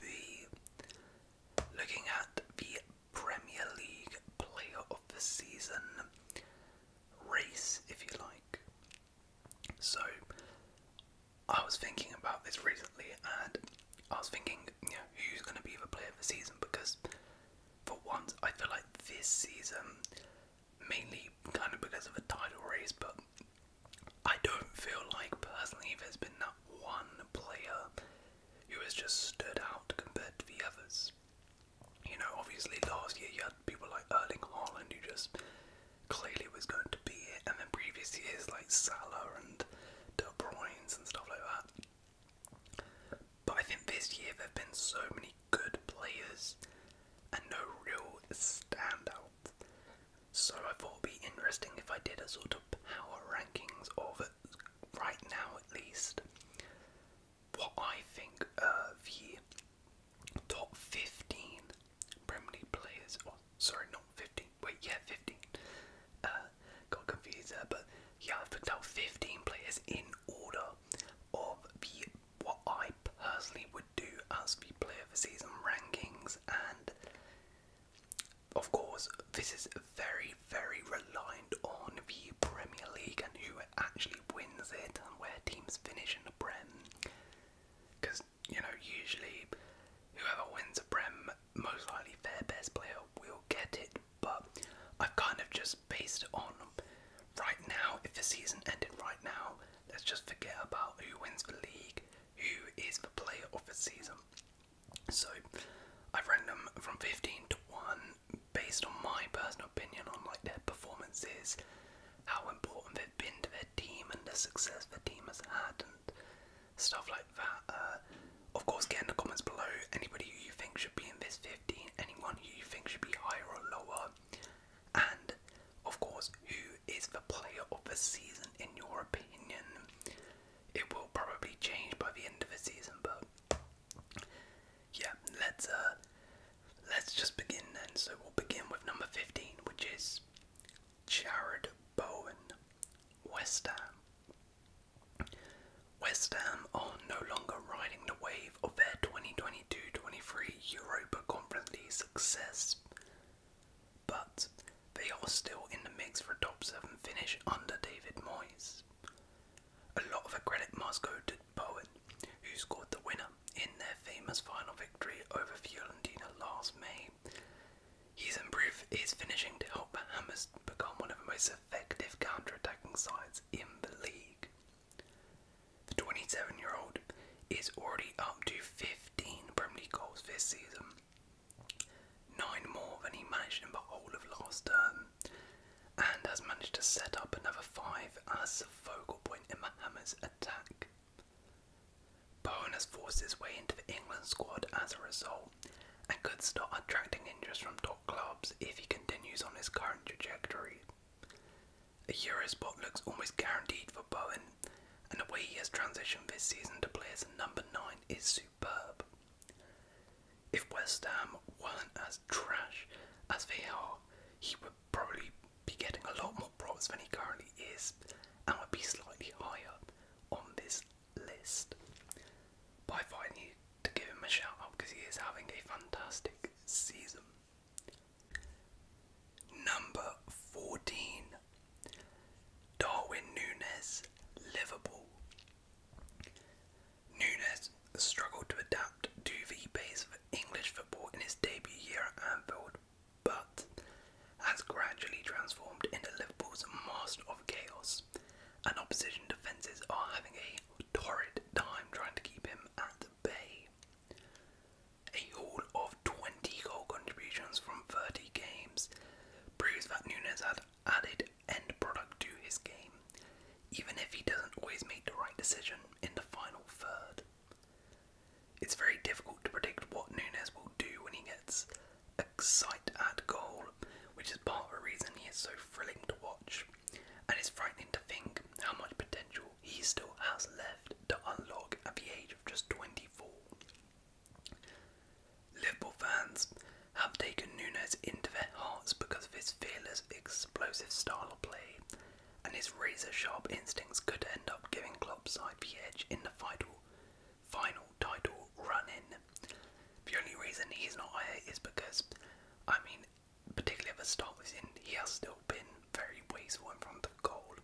be looking at the Premier League Player of the Season race, if you like. So, I was thinking about this recently, and I was thinking, you who's going to be the Player of the Season because, for once, I feel like this season, mainly kind of because of the title race, but I don't feel like personally there's been that one player who has just stood out compared to the others. You know, obviously last year you had people like Erling Haaland who just clearly was going to be it, and then previous years like Salah and De Bruyne's and stuff like that. But I think this year there have been so many good players and no real standout so I thought it'd be interesting if I did a sort of power rankings of it right now at least what I think of the top 15 Premier League players, or oh, sorry, not 15, wait, yeah, 15. Uh, got confused there, but yeah, I've picked out 15 players in order of the what I personally would would do as the player for season rankings, and of course, this is very, very reliant on the Premier League and who actually wins it and where teams finish in the Prem. Because, you know, usually whoever wins the Prem, most likely their best player will get it, but I've kind of just based it on right now, if the season ended right now, let's just forget about who wins the league, who is the player of the season. So I've ranked them from 15 to 1 based on my personal opinion on like their performances, how important they've been to their team and the success their team has had and stuff like that. Uh, of course, get in the comments below anybody who you think should be in this 15, anyone who you think should be higher or lower, and of course, who is the player of the season in your opinion? It will probably change by the end of the season, but yeah, let's uh let's just begin then. So we'll begin with number 15, which is Jared Bowen, West Ham. West Ham are no longer riding the wave of their 2022-23 Europa Conference League success. But they are still in the mix for a top seven finish under David Moyes. A lot of credit must go to Bowen, who scored the winner in their famous final victory over Fiorentina last May. He's improved his finishing to help Hammers become one of the most effective counter-attacking sides in the league. The 27-year-old is already up to 15 15 Premier League goals this season, nine more than he managed in the whole of last term, and has managed to set up another five as focal point in the attack. Bowen has forced his way into the England squad as a result and could start attracting interest from top clubs if he continues on his current trajectory. A Euro spot looks almost guaranteed for Bowen and the way he has transitioned this season to play as a number 9 is superb. If West Ham weren't as trash as they are, he would probably be getting a lot more props than he currently is and would be slightly higher on this list. But I thought I to give him a shout out because he is having a fantastic season. Number 14. Darwin Nunes, Liverpool. Nunes struggled to adapt to the pace of English football in his debut year at Anfield, but has gradually transformed into Liverpool's master of chaos, and opposition defences are having a torrid time trying to keep him at the bay. A haul of 20 goal contributions from 30 games proves that Nunes had added end product to his game, even if he doesn't always make the right decision in the final third. It's very difficult to predict what Nunes will do when he gets excited at goal, which is part of the reason he is so thrilling to watch, and it's frightening to think how much potential he still has left to unlock at the age of just 20 Liverpool fans have taken Nunes into their hearts because of his fearless, explosive style of play, and his razor sharp instincts could end up giving Klopp's side the edge in the final, final title run in. The only reason he's not higher is because, I mean, particularly at the start of the he has still been very wasteful in front of goal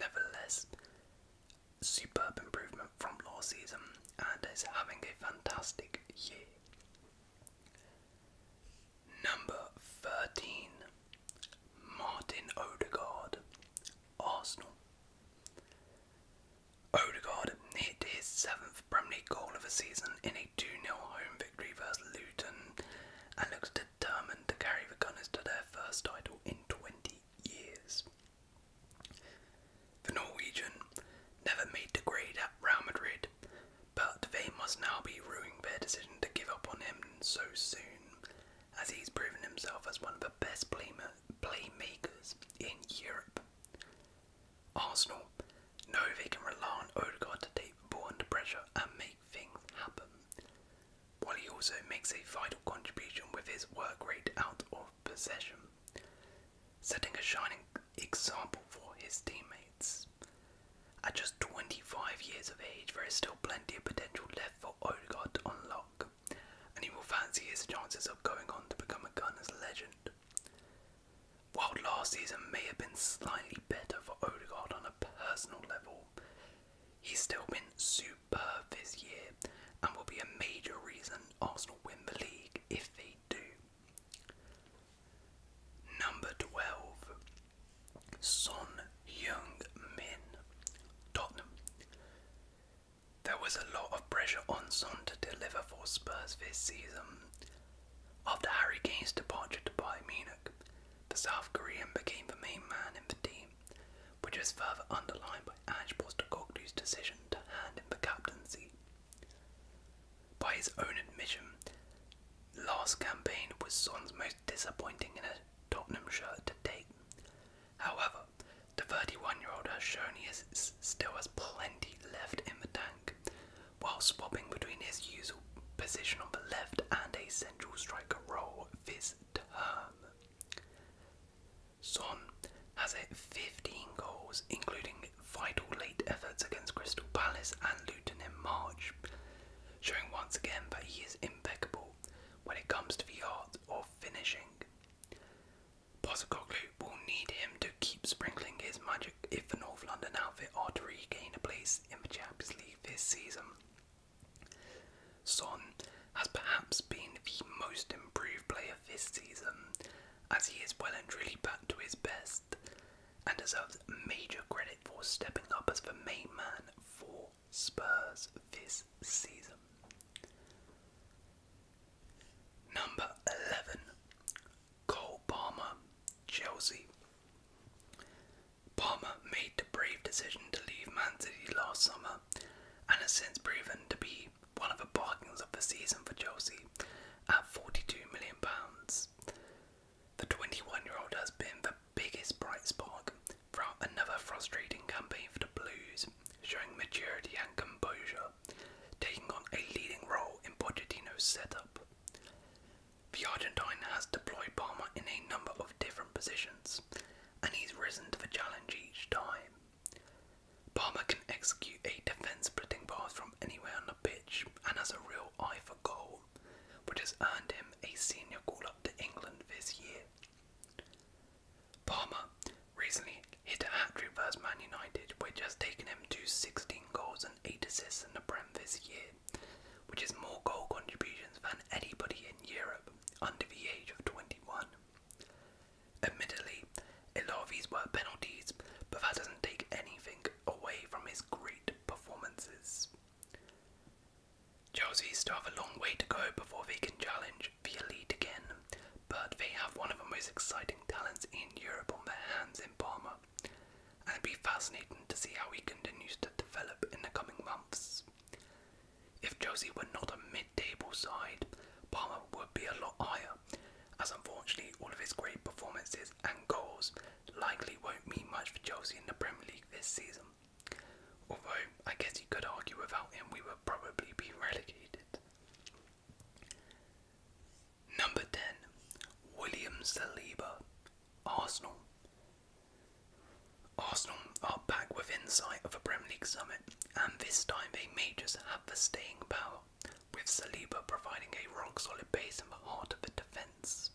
Nevertheless, superb improvement from last season and is having a fantastic year. Number 13 Martin Odegaard, Arsenal. Odegaard hit his seventh Premier League goal of the season in a 2 0 home victory versus Luton and looks determined to carry the Gunners to their first title in 20 years. The Norwegian never made the grade at Real Madrid, but they must now be ruining their decision to give up on him so soon, as he's proven himself as one of the best playmakers in Europe. Arsenal know they can rely on Odegaard to take the ball under pressure and make things happen, while he also makes a vital contribution with his work rate out of possession, setting a shining example for his teammates. At just 25 years of age, there is still plenty of potential left for Odegaard to unlock, and he will fancy his chances of going on to become a Gunners legend. While last season may have been slightly better for Odegaard on a personal level, He's still been superb this year and will be a major reason Arsenal win the league if they do. Number 12 Son Young Min, Tottenham. There was a lot of pressure on Son to deliver for Spurs this season. After Harry Kane's departure to Bayern Munich, the South Korean became the main man in the team, which is further underlined by Ange Postacoglu's decision to hand him the captaincy. By his own admission, last campaign was Son's most disappointing in a Tottenham shirt to date. However, the 31-year-old has shown he still has plenty left in the tank, while swapping between his usual position on the left and a central striker role this Son has it 15 goals, including vital late efforts against Crystal Palace and Luton in March, showing once again that he is impeccable when it comes to the art of finishing. Postecoglou will need him to keep sprinkling his magic if the North London outfit are to regain a place in the Champions League this season. Son has perhaps been the most improved player this season, as he is well and truly back to his best and deserves major credit for stepping up as the main man for Spurs this season. Number 11 Cole Palmer, Chelsea. Palmer made the brave decision to leave Man City last summer and has since proven to be one of the bargains of the season for Chelsea at £42 million. The 21 year old has been the biggest bright spark throughout another frustrating campaign for the Blues, showing maturity and composure, taking on a leading role in Pochettino's setup. The Argentine has deployed Palmer in a number of different positions, and he's risen to the challenge each time. Palmer can execute a defence splitting pass from anywhere on the pitch and has a real eye for goal, which has earned him a senior call up to England this year. Palmer recently hit a hat trick versus Man United, which has taken him to 16 goals and 8 assists in the Prem this year which is more goal contributions than anybody in Europe under the age of 21. Admittedly, a lot of these were penalties, but that doesn't take anything away from his great performances. Chelsea still have a long way to go before they can challenge the elite again, but they have one of the most exciting talents in Europe on their hands in Palmer and it'd be fascinating to see how he continues to develop in the coming months. If Josie were not a mid table side, Palmer would be a lot higher, as unfortunately all of his great performances and goals likely won't mean much for Josie in the Premier League this season. Although, I guess you could argue without him we would probably be relegated. Number 10, William Saliba, Arsenal. Arsenal are back within sight of a Premier League summit, and this time they may just have the staying power, with Saliba providing a rock solid base in the heart of the defence.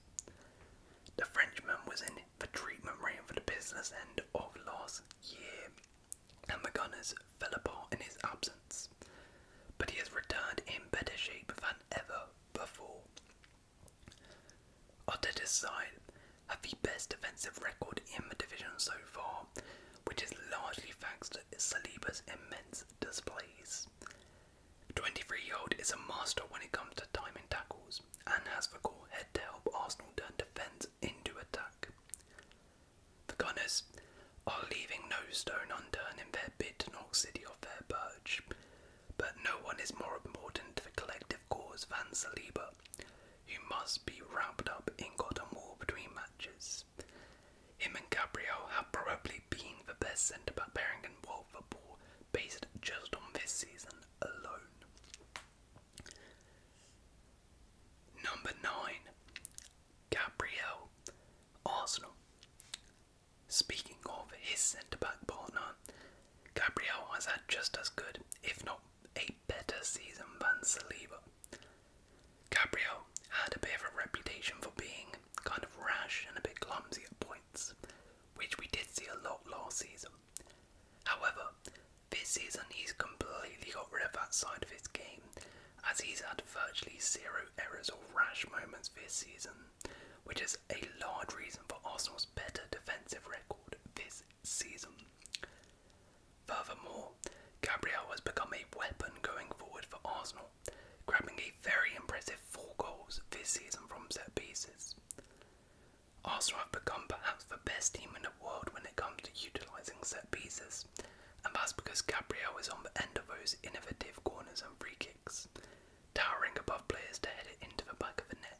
The Frenchman was in the treatment room for the business end of last year, and the Gunners fell apart in his absence, but he has returned in better shape than ever before. Arteta's side have the best defensive record in the division so far, which is largely thanks to Saliba's immense displays. 23-year-old is a master when it comes to timing tackles and has the core head to help Arsenal turn defence into attack. The Gunners are leaving no stone unturned in their bid to knock City off their perch, but no one is more important to the collective cause than Saliba, who must be wrapped up in cotton wool between matches. Him and Gabriel have probably been the best centre back pairing in world football based just on this season alone. Number 9. Gabriel. Arsenal. Speaking of his centre back partner, Gabriel has had just as good, if not a better season than Saliba. Gabriel had a bit of a reputation for being kind of rash and a bit clumsy at points, which we did see a lot last season. However, this season he's completely got rid of that side of his game, as he's had virtually zero errors or rash moments this season, which is a large reason for Arsenal's better defensive record this season. Furthermore, Gabriel has become a weapon going forward for Arsenal, grabbing a very impressive four goals this season from set pieces. Arsenal have become perhaps the best team in the world when it comes to utilising set pieces, and that's because Gabriel is on the end of those innovative corners and free kicks, towering above players to head it into the back of the net.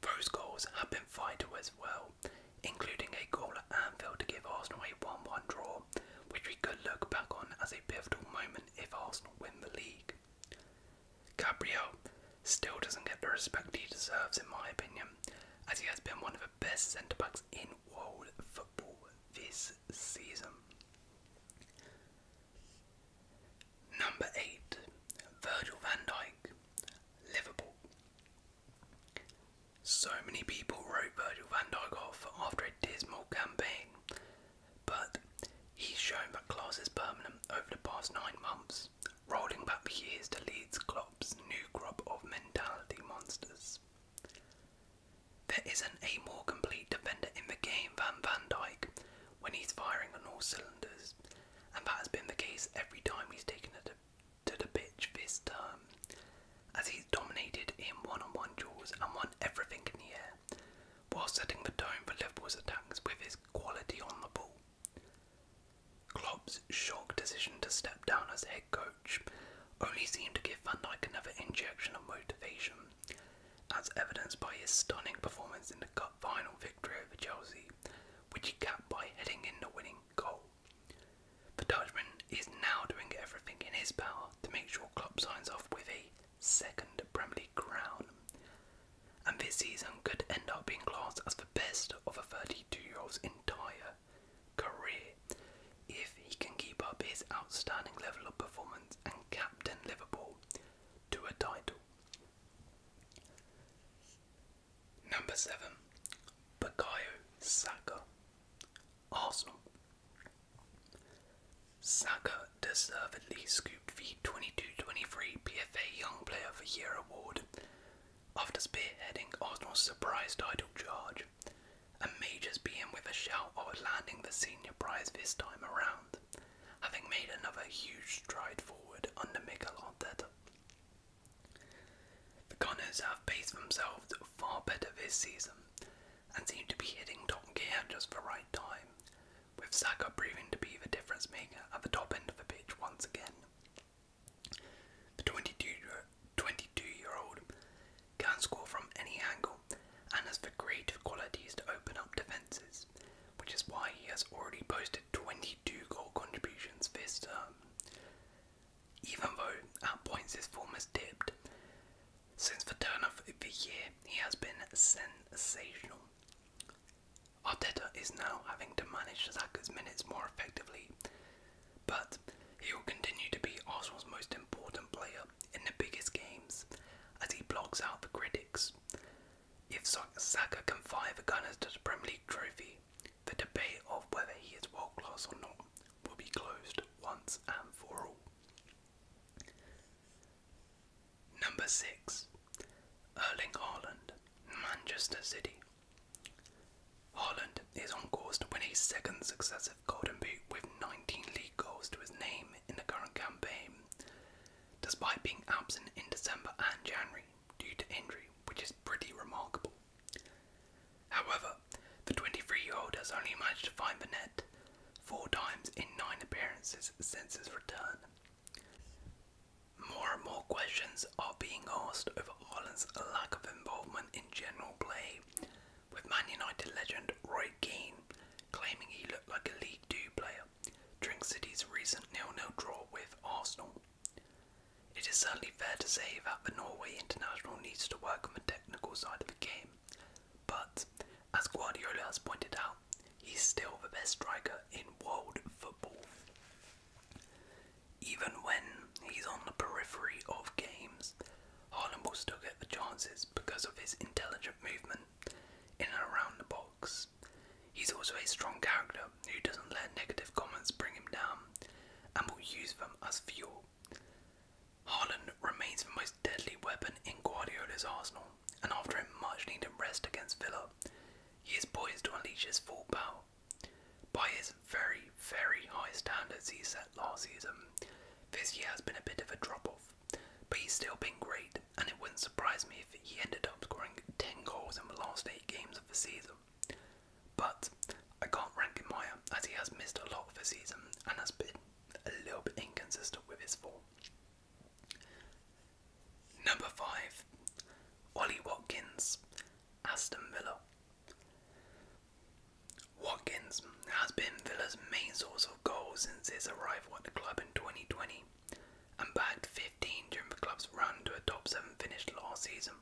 Those goals have been vital as well, including a goal at Anfield to give Arsenal a 1 1 draw, which we could look back on as a pivotal moment if Arsenal win the league. Gabriel still doesn't get the respect he deserves, in my opinion, as he has been one of the best centre backs in world football this season. Number 8. Virgil van Dyke, Liverpool. So many people wrote Virgil van Dyke off after a dismal campaign, but he's shown that class is permanent over the past nine months, rolling back years to Leeds Klopp's new crop of mentality monsters. There isn't a more complete defender in the game than Van Dyke when he's firing on all cylinders, and that has been the case every time he's taken it to the pitch this term, as he's dominated in one-on-one duels and won everything in the air, while setting the tone for Liverpool's attacks with his quality on the ball. Klopp's shock decision to step down as head coach only seemed to give Van Dijk another injection of motivation, them, as evidenced by his stunning performance in the Cup final victory over Chelsea, which he capped by heading in the winning goal. The Dutchman is now doing everything in his power to make sure Klopp signs off with a second Premier League crown, and this season could end up being classed as the best of a 32-year-old's entire career if he can keep up his outstanding level of performance and captain Liverpool to a title. Number 7. Bukayo Saka, Arsenal. Saka deservedly scooped the 22-23 PFA Young Player of the Year award after spearheading Arsenal's surprise title charge, and majors being with a shout of landing the senior prize this time around having made another huge stride forward under Mikel Arteta. The Gunners have paced themselves far better this season and seem to be hitting top gear just the right time, with Saka proving to be the difference maker at the top end of the pitch once again. The 22 year old can score from any angle and has the creative qualities to open up defences, which is why he has already posted 22 goal contributions this term. Even though at points his form has dipped, since the turn of the year he has been sensational. Arteta is now having to manage Saka's minutes more effectively, but he will continue to be Arsenal's most important player in the biggest games as he blocks out the critics. If Saka can fire the Gunners to the Premier League trophy, the debate of whether he is world class or not will be closed once and for all. Number 6. Erling Haaland, Manchester City. Haaland is on course to win his second successive Golden Boot with 19 league goals to his name in the current campaign, despite being absent in December and January due to injury, which is pretty remarkable. However, the 23 year old has only managed to find the net four times in nine appearances since his return. More and more questions are being asked over Ireland's lack of involvement in general play, with Man United legend Roy Keane claiming he looked like a League Two player during City's recent nil 0 draw with Arsenal. It is certainly fair to say that the Norway international needs to work on the technical side of the game, but as Guardiola has pointed out, he's still the best striker in world football. Even when he's on the periphery of games, Haaland will still get the chances because of his intelligent movement in and around the box. He's also a strong character who doesn't let negative comments bring him down and will use them as fuel. Haaland remains the most deadly weapon in Guardiola's arsenal, and after a much needed rest against Villa, he is poised to unleash his full power. By his very, very high standards he set last season, this year has been a bit of a drop off. But he's still been great, and it wouldn't surprise me if he ended up scoring 10 goals in the last 8 games of the season. But I can't rank him higher as he has missed a lot of the season and has been a little bit inconsistent with his form. Number 5 Ollie Watkins, Aston Villa. Watkins has been Villa's main source of goals since his arrival at the club in 2020 and bagged 15 during the club's run to a top 7 finish last season.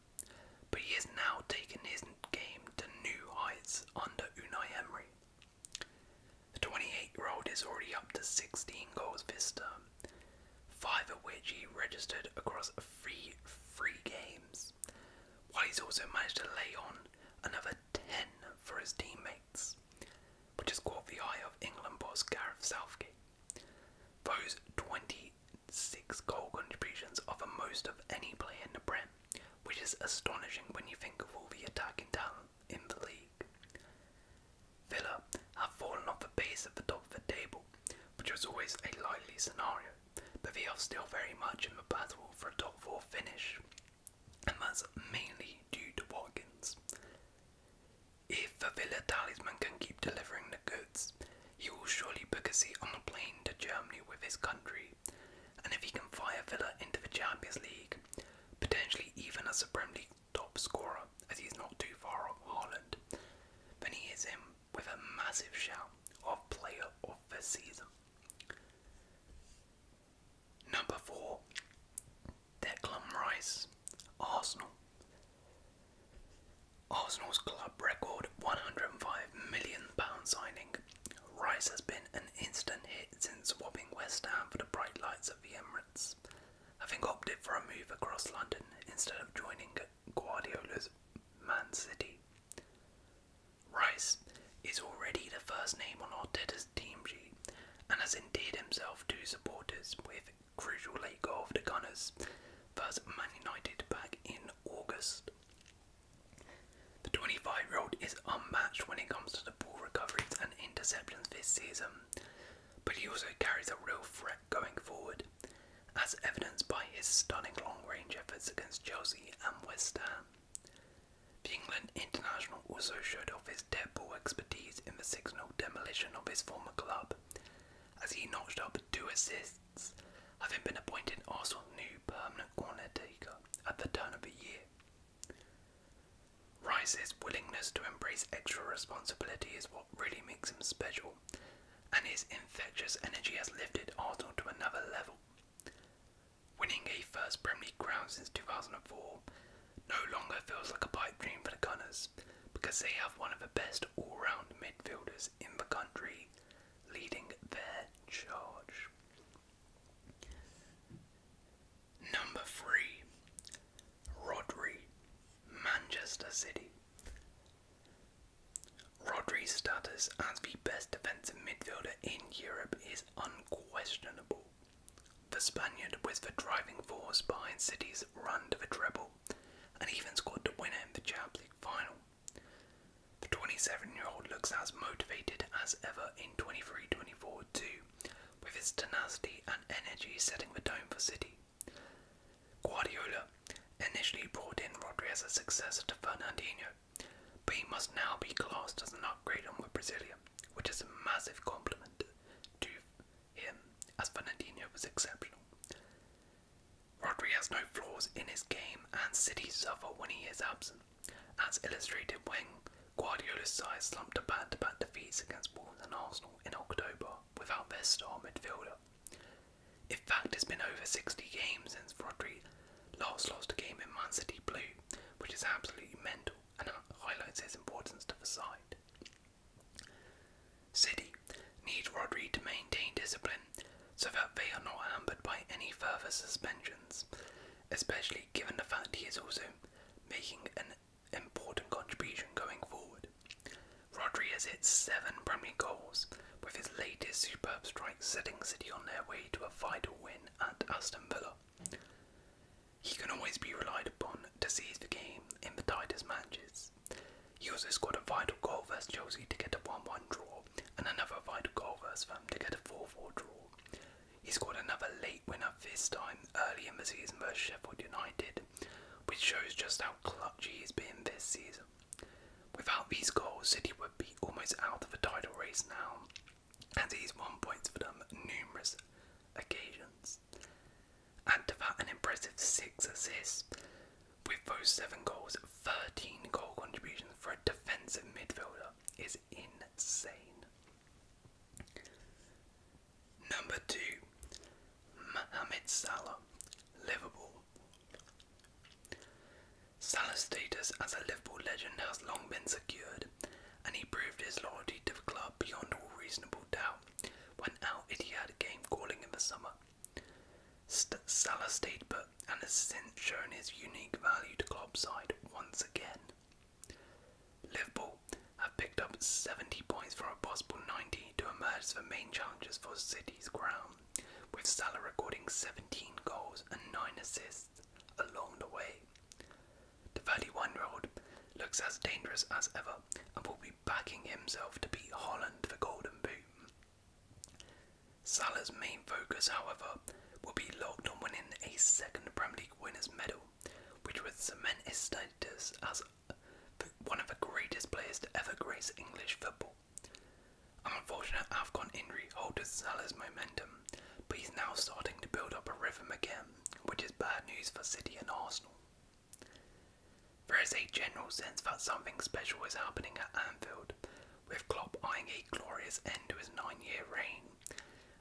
But he has now taken his game to new heights under Unai Emery. The 28 year old is already up to 16 goals this term, five of which he registered across three free games, while he's also managed to lay on another 10 for his teammate which has caught the eye of England boss Gareth Southgate. Those 26 goal contributions are the most of any player in the Prem, which is astonishing when you think of all the attacking talent in the league. Villa have fallen off the pace at the top of the table, which was always a likely scenario, but they are still very much in the battle for a top four finish, and that's mainly due to Watkins. If Villa talisman can keep delivering the goods, he will surely book a seat on a plane to Germany with his country, and if he can fire Villa into the Champions League, potentially even as a Premier League top scorer, as he's not too far off Haaland, then he is him with a massive shout of player of the season. Number four, Declan Rice, Arsenal. Arsenal's club record £105 million signing. Rice has been an instant hit since swapping West Ham for the bright lights of the Emirates, having opted for a move across London instead of joining Guardiola's Man City. Rice is already the first name on Arteta's team sheet and has endeared himself to supporters with crucial late goal of the Gunners versus Man United back in August. The 25 year old is unmatched when it comes to the ball recoveries and interceptions this season, but he also carries a real threat going forward, as evidenced by his stunning long range efforts against Chelsea and West Ham. The England international also showed off his dead ball expertise in the 6 0 demolition of his former club, as he notched up two assists, having been appointed Arsenal's new permanent corner-taker at the turn of the year. Rice's willingness to embrace extra responsibility is what really makes him special, and his infectious energy has lifted Arsenal to another level. Winning a first Premier League crown since 2004 no longer feels like a pipe dream for the Gunners because they have one of the best all round midfielders in the country leading their charge. Number 3 Rodri, Manchester City. Rodri's status as the best defensive midfielder in Europe is unquestionable. The Spaniard was the driving force behind City's run to the treble and even scored the winner in the Champions League final. The 27 year old looks as motivated as ever in 23 24 too, with his tenacity and energy setting the tone for City. Guardiola initially brought in Rodri as a successor to Fernandinho, but he must now be classed as an upgrade on with Brasilia, which is a massive compliment to him, as Fernandinho was exceptional. Rodri has no flaws in his game, and City suffer when he is absent, as illustrated when Guardiola's side slumped to back-to-back defeats against Wolves and Arsenal in October without their star midfielder. In fact, it's been over 60 games since Rodri Last lost a game in Man City Blue, which is absolutely mental and highlights his importance to the side. City need Rodri to maintain discipline so that they are not hampered by any further suspensions, especially given the fact he is also making an important contribution going forward. Rodri has hit seven Premier goals, with his latest superb strike setting City on their way to a vital win at Aston Villa. He can always be relied upon to seize the game in the tightest matches. He also scored a vital goal versus Chelsea to get a 1 1 draw, and another vital goal versus them to get a 4 4 draw. He scored another late winner this time early in the season versus Sheffield United, which shows just how clutchy he's been this season. Without these goals, City would be almost out of the title race now, and he's won points for them numerous occasions. And to that, an impressive six assists, with those seven goals, 13 goal contributions for a defensive midfielder is insane. Number two, Mohamed Salah, Liverpool. Salah's status as a Liverpool legend has long been secured, and he proved his loyalty to the club beyond all reasonable doubt when Al Ittihad game calling in the summer. St Salah stayed put and has since shown his unique value to club side once again. Liverpool have picked up 70 points from a possible 90 to emerge as the main challengers for City's crown, with Salah recording 17 goals and 9 assists along the way. The 31 One Road looks as dangerous as ever and will be backing himself to beat Holland for Golden Boot. Salah's main focus, however, will be locked on winning a second Premier League winners' medal, which would cement his status as one of the greatest players to ever grace English football. I'm unfortunate Afghan injury halted Salah's momentum, but he's now starting to build up a rhythm again, which is bad news for City and Arsenal. There is a general sense that something special is happening at Anfield, with Klopp eyeing a glorious end to his nine-year reign,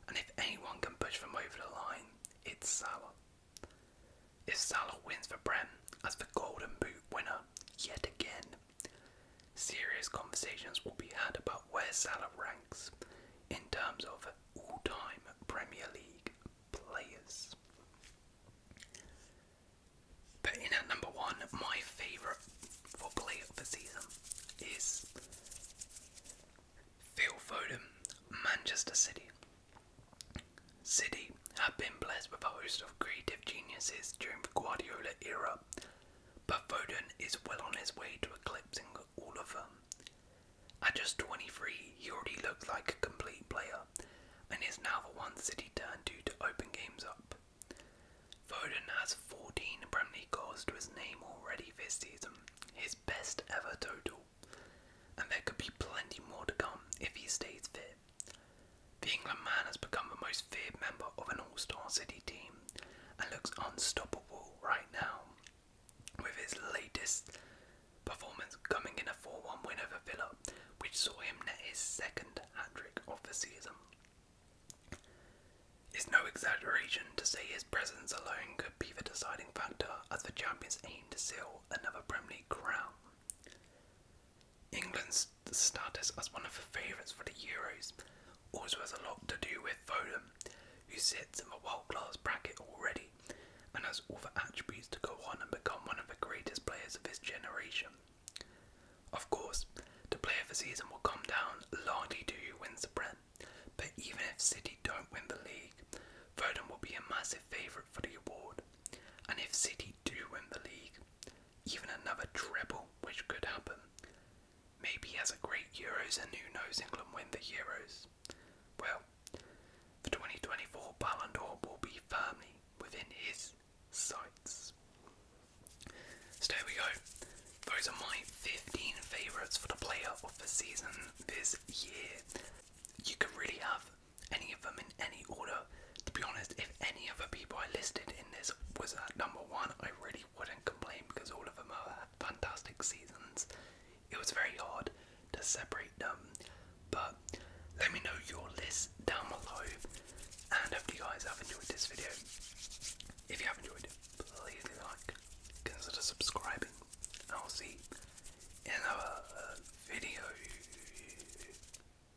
and if anyone can push them over the line, it's Salah. If Salah wins the Brem as the Golden Boot winner yet again, Serious conversations will be had about where Salah ranks in terms of all time Premier League players. But in at number one, my favourite for player of the season is Phil Foden, Manchester City. City have been blessed with a host of creative geniuses during the Guardiola era but Foden is well on his way to eclipsing all of them. At just 23, he already looks like a complete player and is now the one City turn to to open games up. Foden has 14 Premier League goals to his name already this season, his best ever total, and there could be plenty more to come if he stays fit. The England man has become the most feared member of an all star City team and looks unstoppable right now, with his latest performance coming in a 4 1 win over Villa, which saw him net his second hat trick of the season. It's no exaggeration to say his presence alone could be the deciding factor as the champions aim to seal another Premier League crown. England's status as one of the favourites for the Euros also has a lot to do with Foden, who sits in the world-class bracket already and has all the attributes to go on and become one of the greatest players of his generation. Of course, the player of the season will come down largely to who wins the Prem, but even if City don't win the league, Foden will be a massive favourite for the award. And if City do win the league, even another treble, which could happen, Maybe as a great Euros and who knows England win the Euros. Well, the 2024 Ballon d'Or will be firmly within his sights. So there we go. Those are my 15 favourites for the player of the season this year. You could really have any of them in any order. To be honest, if any other people I listed in this was at number one, I really wouldn't complain because all of them are fantastic seasons. It was very hard to separate them, but let me know your list down below. And hope you guys have enjoyed this video. If you have enjoyed it, please like, consider subscribing, I'll see you in our video.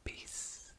Peace.